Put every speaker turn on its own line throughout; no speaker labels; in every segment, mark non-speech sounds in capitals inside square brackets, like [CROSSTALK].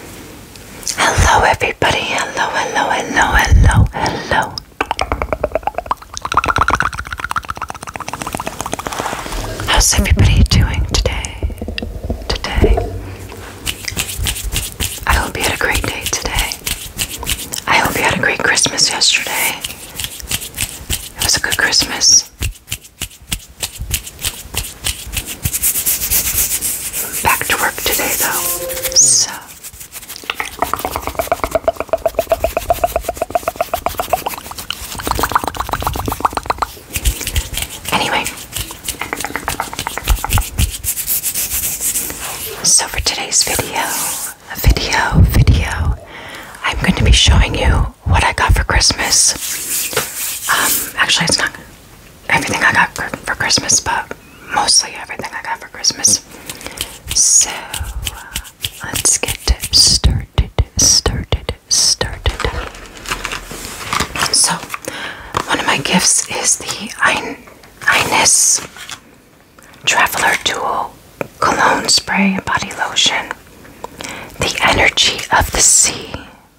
Hello, everybody. Hello, hello, hello, hello, hello. How's everybody doing today? Today? I hope you had a great day today. I hope you had a great Christmas yesterday. It was a good Christmas. Back to work today, though. So. Anyway, so for today's video, video, video, I'm going to be showing you what I got for Christmas. Um, actually, it's not everything I got for Christmas, but mostly everything I got for Christmas. So uh, let's get started, started, started. So one of my gifts is the Ines Traveler Duo Cologne Spray and Body Lotion. The Energy of the Sea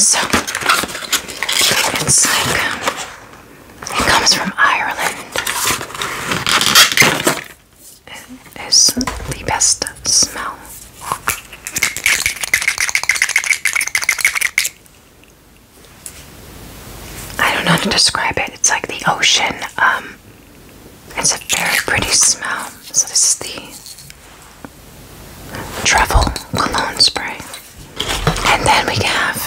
So it's like um, it comes from Ireland. It is the best smell. I don't know how to describe it. It's like the ocean. Um, it's a very pretty smell. So this is the Travel cologne spray. And then we have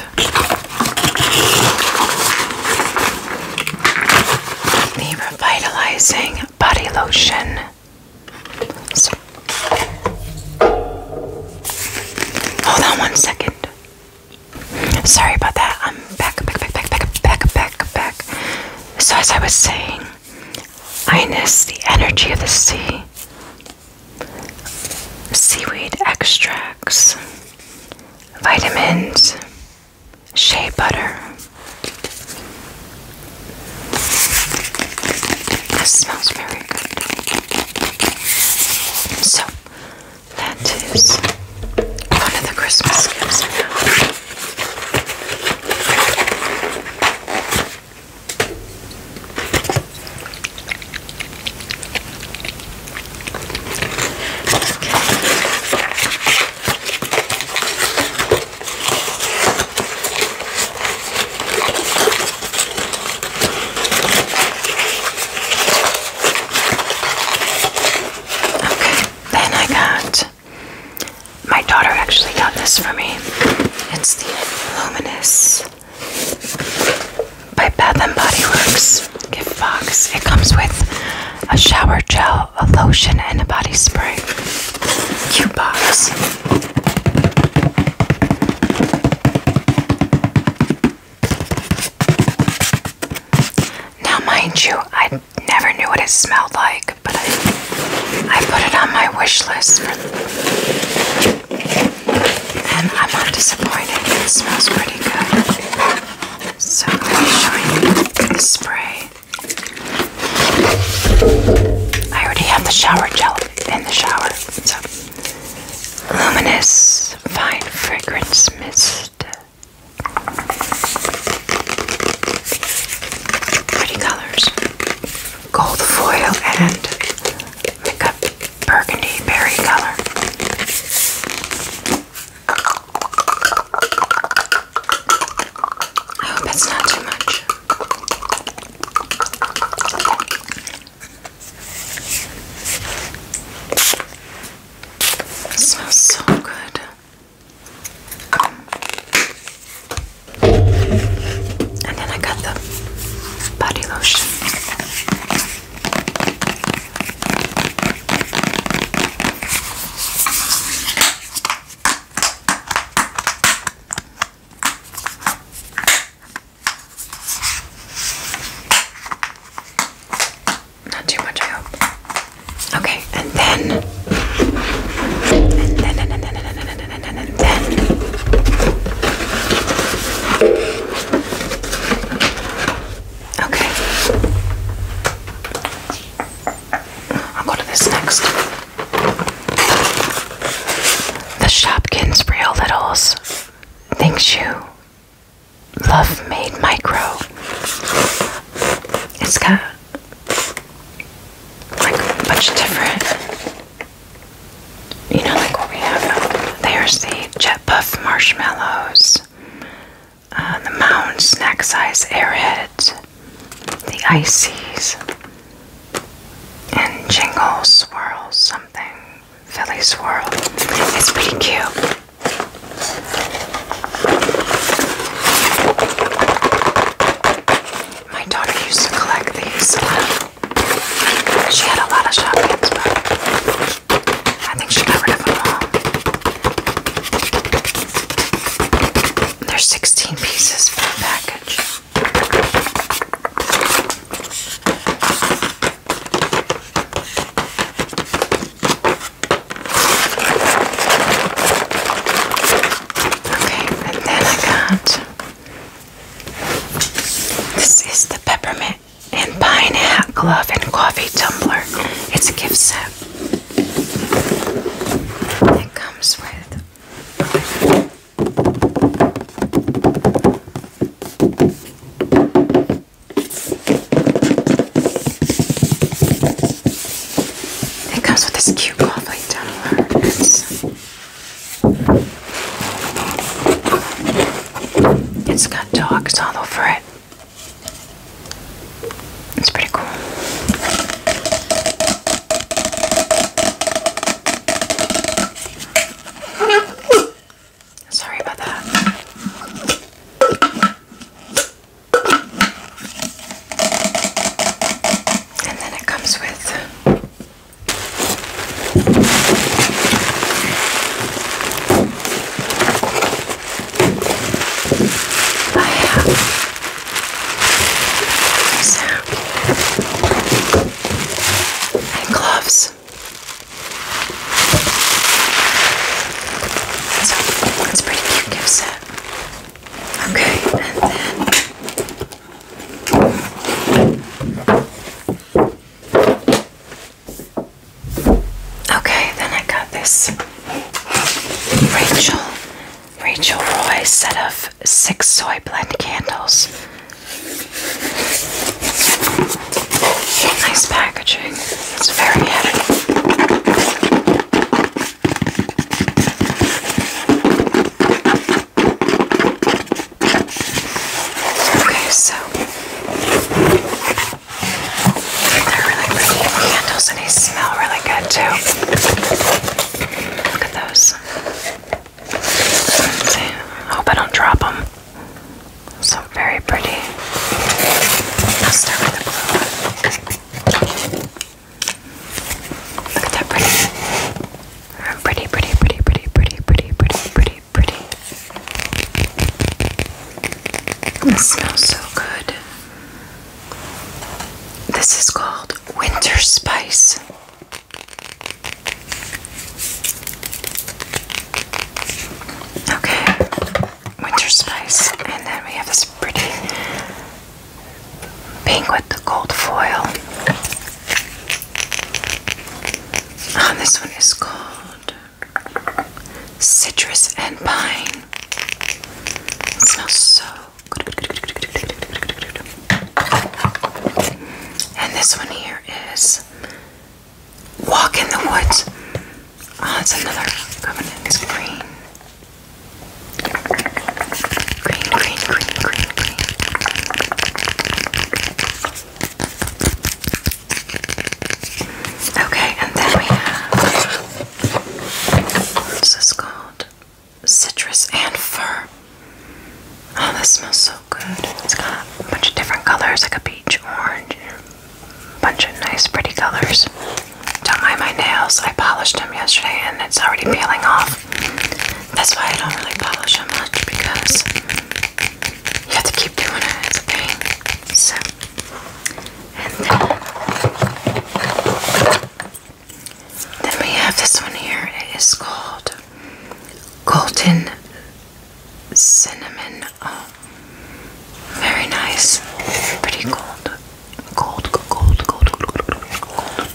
the revitalizing body lotion. hold on one second. Sorry about that. I'm back, back, back, back, back, back, back, back. So as I was saying, Inus, the energy of the sea. Seaweed extracts, vitamins, shea butter. This smells very good. So, that is one of the Christmas gifts Okay, then I got my daughter actually got this for me. It's the Luminous by Bath and Body Works gift box. It comes with a shower gel, a lotion, and a body spray. Cute box. Now, mind you, I I never knew what it smelled like, but I, put it on my wish list, for, and I'm not disappointed. It smells pretty good. So I'm going to show you the spray. I already have the shower gel in the shower. So, luminous fine fragrance mist. Pretty colors. Gold foil and pick burgundy berry color. I hope it's not too much. It smells so good and then I got the body lotion. Not too much, I hope. Okay, and then, and then, and then, and then, and then, and then, and then. Okay. I'll go to this next. The Shopkins Real Littles. Thanks you. Love Made Micro. It's got like much different. You know, like what we have. There's the Jet Puff marshmallows, uh, the Mounds snack size airheads, the ices, and jingle swirl something, Philly swirl. It's pretty cute. My daughter used to collect these. She had a lot of shotguns, but I think she got rid of them all. There's 16 pieces for the package. Okay, and then I got this is the peppermint and pine hat glove and coffee tumbler. It's a gift set. It comes with it comes with this cute conflict tumbler. It's, it's got dogs all over it. It's pretty cool. Sorry about that. And then it comes with I have these and gloves. So it's a pretty cute gift set. Okay, and then Okay, then I got this Rachel Rachel Roy set of six soy blend candles. Nice packaging. It's very heavy. Okay, so they're really pretty candles and they smell really good too. Look at those. hope I don't drop them. So very pretty. I'll start with the blue one. Look at that pretty. Pretty, pretty, pretty, pretty, pretty, pretty, pretty, pretty, This smells so good. This is called Winter Spice. Okay, winter spice, and then we have this pretty pink with the gold foil. Oh, this one is called Citrus and Pine. smells so good. And this one here is Walk in the Woods. Oh, it's another covenant. It's green. Green, green, green, green, green. Okay, and then we have what's this called? Citrus and fir. Oh, this smells so good. It's got a bunch of different colors, like a peach, orange, bunch of nice pretty colors. Don't mind my nails. I polished them yesterday and it's already peeling off. That's why I don't really polish them much because you have to keep doing it. It's a pain. So, then we have this one here. It is called Golden Cinnamon Oh, very nice. Pretty cold. Gold, gold, gold, gold, gold, gold.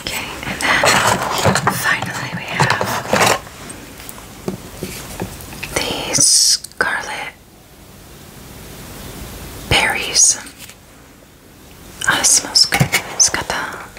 Okay, and then finally we have the scarlet berries. Oh, smells good. It's got the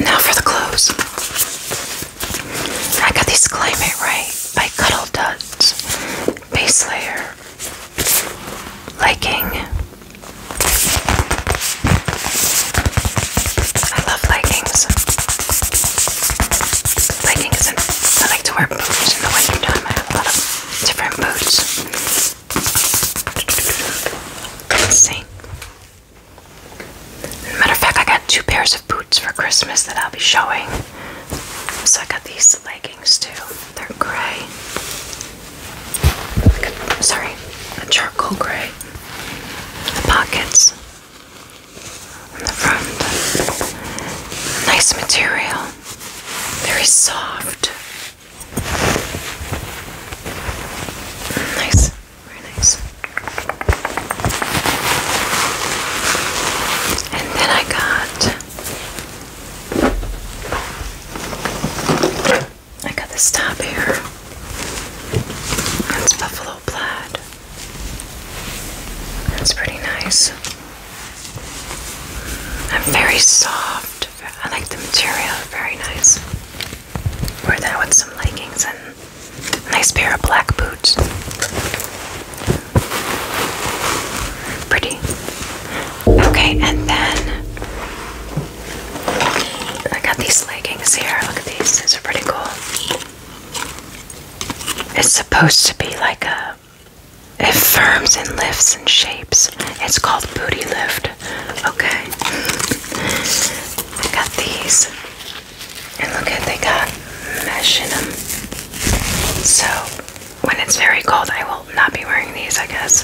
now for the clothes. I got these Claim It Right by Cuddle Duds base layer liking. I love leggings leggings I like to wear boots in the wintertime. I have a lot of different boots. see. Matter of fact, I got two pairs of boots for Christmas that I'll be showing. So I got these leggings too. They're gray. Sorry, a charcoal gray. The pockets on the front. Nice material, very soft. Nice, very nice. And then I got I got this top here. It's buffalo plaid. That's pretty nice. And very soft. I like the material, very nice. Wear that with some leggings and nice pair of black boots. Pretty. Okay, and then I got these leggings here. Look at these, these are pretty cool. It's supposed to be like a. It firms and lifts and shapes. It's called Booty Lift. Okay. I got these. And look at they got mesh in them. So when it's very cold, I will not be wearing these, I guess.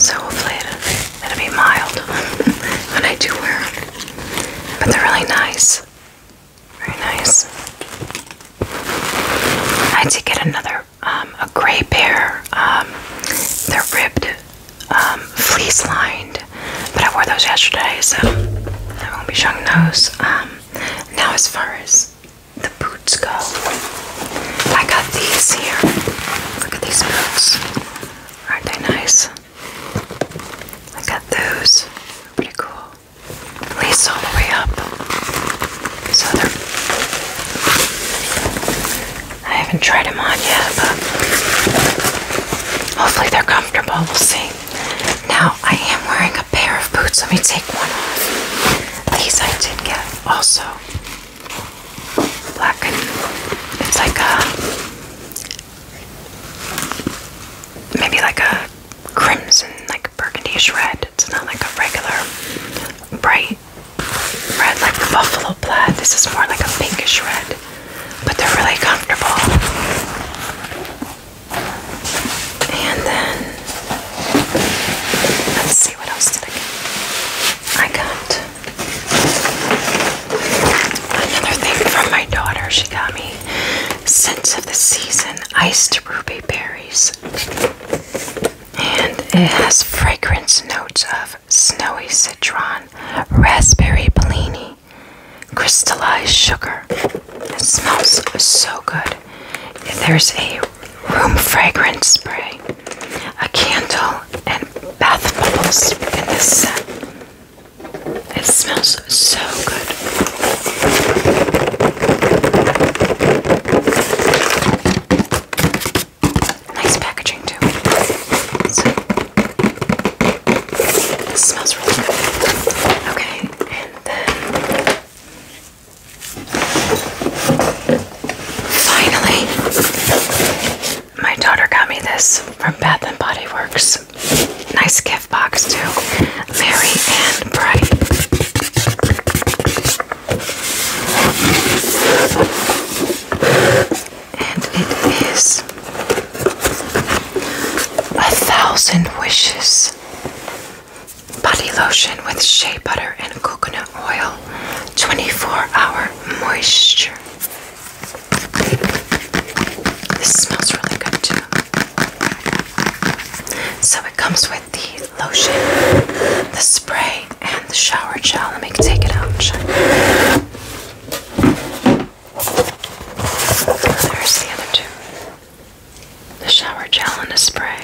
So hopefully it'll, it'll be mild [LAUGHS] when I do wear them. But they're really nice. Very nice. I had to get another, um, a gray pair. Um, they're ribbed, um, fleece lined, but I wore those yesterday, so I won't be showing those. now, as far as the boots go, I got these here. Look at these boots. Aren't they nice? I got those. They're pretty cool. At least all the way up. So they're. I haven't tried them on yet, but hopefully they're comfortable. We'll see. Now I am wearing a pair of boots. Let me take one off. These I did get also. Black it's like a maybe like a crimson, like burgundy red. It's not like a regular bright red like the buffalo plaid. This is more like a pinkish red, but they're really comfortable. And then let's see what else did I get. I got Another thing from my daughter, she got me Scents of the Season Iced Ruby Berries. And it has fragrance notes of snowy citron, raspberry bellini, crystallized sugar. It smells so good. There's a room fragrance spray, a candle, and bath bubbles in this set. It smells so good. Nice packaging too. smells really good. Okay, and then finally my daughter got me this from Bath and Body Works. Nice gift box too. Merry and bright. And it is a thousand wishes body lotion with shea butter and coconut oil. 24 hour moisture. This smells really good too. So it comes with the lotion, the spray, and the shower gel. Let me take it out and show you. Oh, there's the other two. The shower gel and the spray.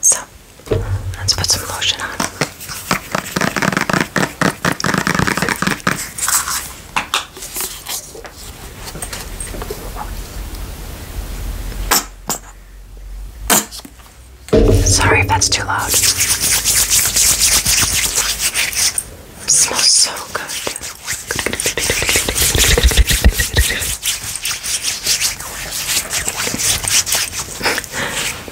So Let's put some lotion on. Sorry if that's too loud. smells so good.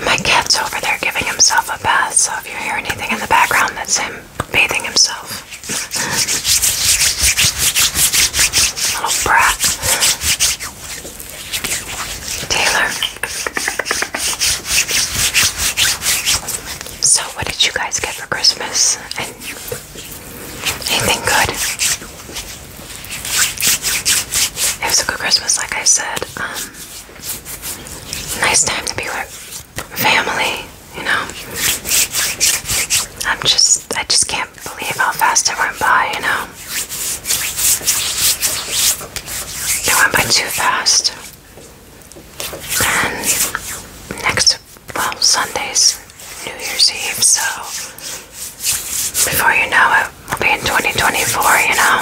My cat's over there giving himself a bath, so if you hear anything in the background, that's him bathing himself. Little brat. Taylor. So, what did you guys get for Christmas? anything good? It was a good Christmas, like I said. Um, nice time to be with family, you know. I'm just, I just can't believe how fast it went by, you know. It went by too fast. And next, well, Sunday's New Year's Eve, so before you know it, we'll be in 2024, you know?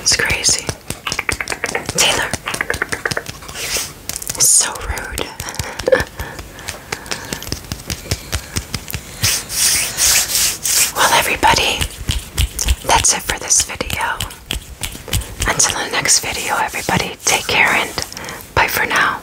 It's crazy. Taylor! so rude. [LAUGHS] well, everybody, that's it for this video. Until the next video, everybody, take care and bye for now.